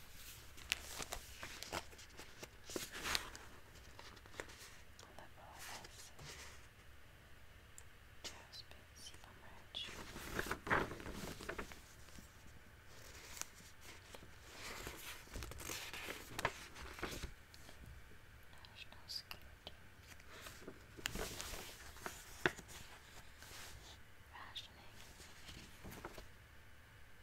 level has just been submerged. National security. Rationing.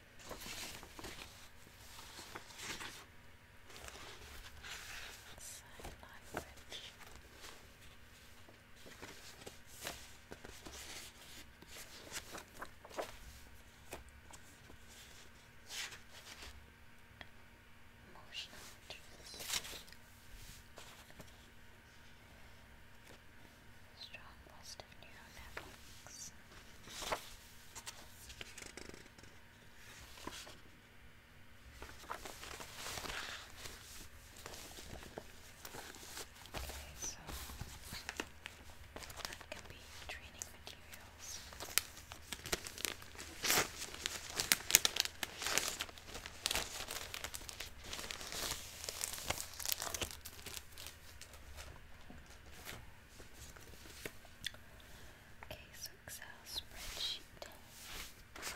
Sign language. Emotional truth. Strong positive neural networks this. Okay, so that can be training materials. Okay, Okay, so Excel spreadsheet. Another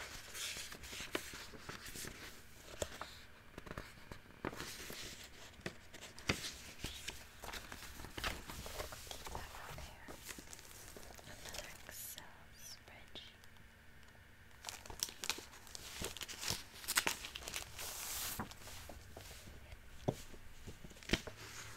Excel spreadsheet.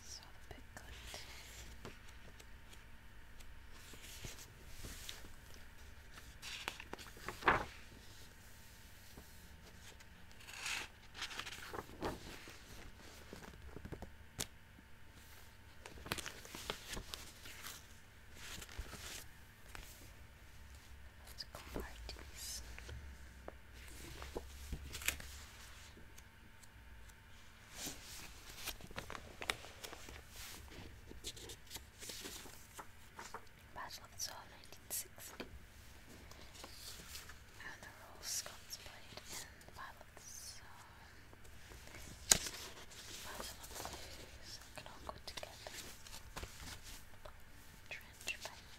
sort of bit good. Let's go parties. Battle of 1960. And the role Scots played in the Battle of the Battle of the can all go together. Trench fight.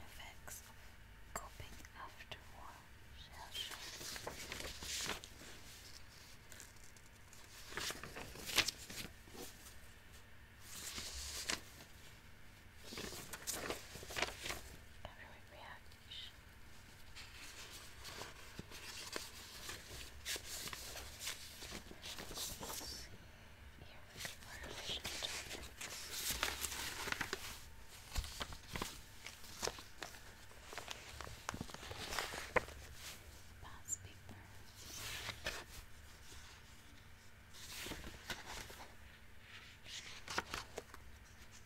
effects coping after war shell shock. Every reaction ears more efficient. Pass paper. Hard to explain.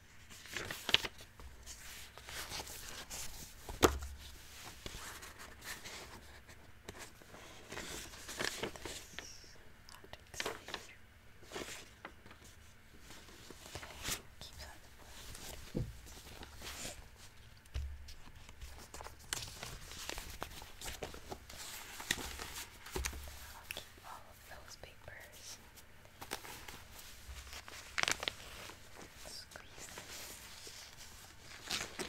Keeps out the blood. I'll keep all of those papers. Squeeze them. In.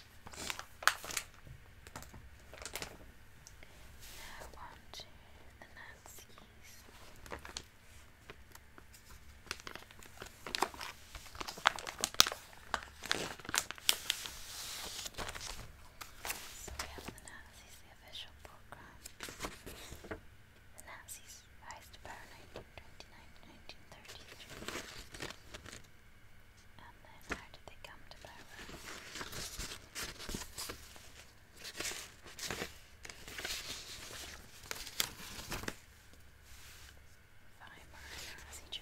Now on the Nazis. So we have the Nazis, official program. The Nazis rise to power 1929 1933. And then how did they come to power? Weimar Nazi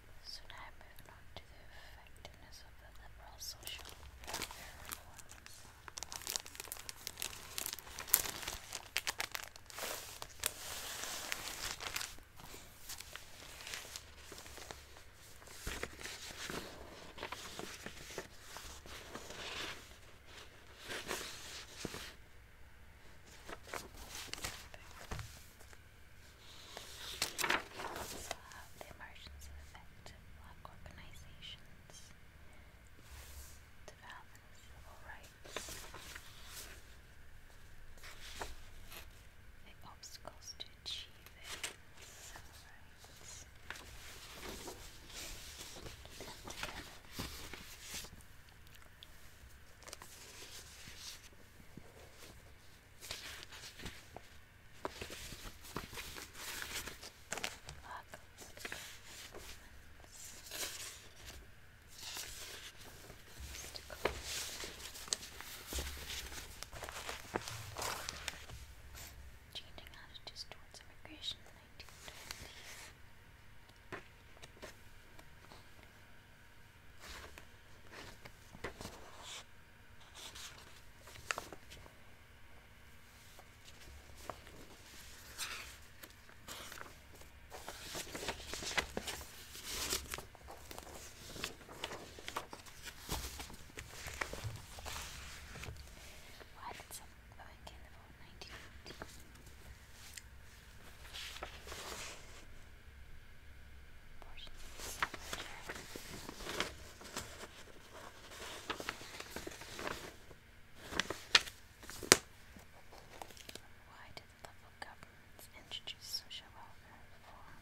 So now moving on to the effectiveness of the liberal social welfare reforms also have the emergence of organizations, development civil rights, the obstacles to achieving civil rights. Keep them together. Changing attitudes towards immigration why did some awake in the 1919? Why did the local governments introduce social welfare reform?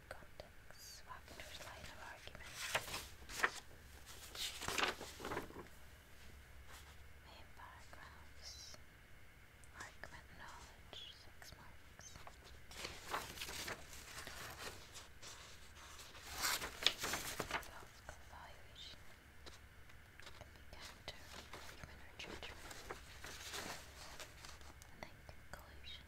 context swap Main paragraphs. Argument knowledge, six marks. Philosophical evaluation. Can be counter, judgment. And conclusion.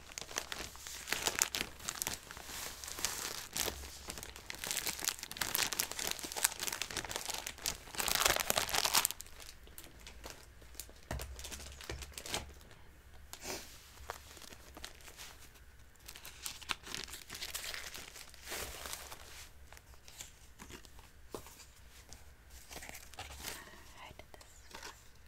I did this.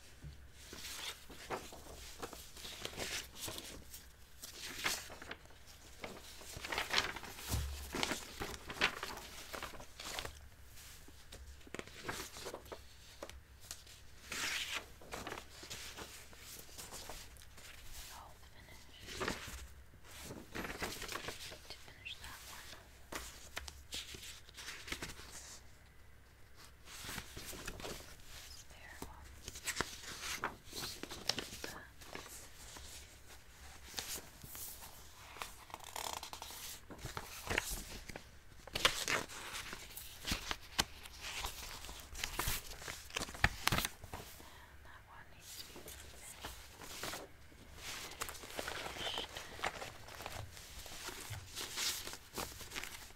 I'll finish to finish that one spare one. But and that one needs to be finished. Finished.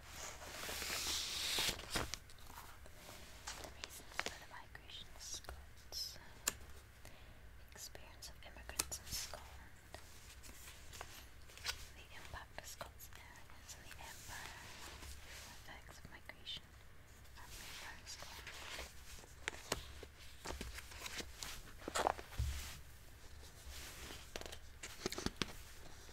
The reasons for the migration of Scots. Experience of immigrants in Scotland. The impact of Scots arrogance on the Empire. Effects of migration on the Empire of Scotland.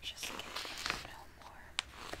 Just get a little more. Okay.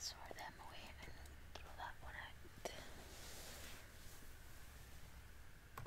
Sort them away and throw that one out.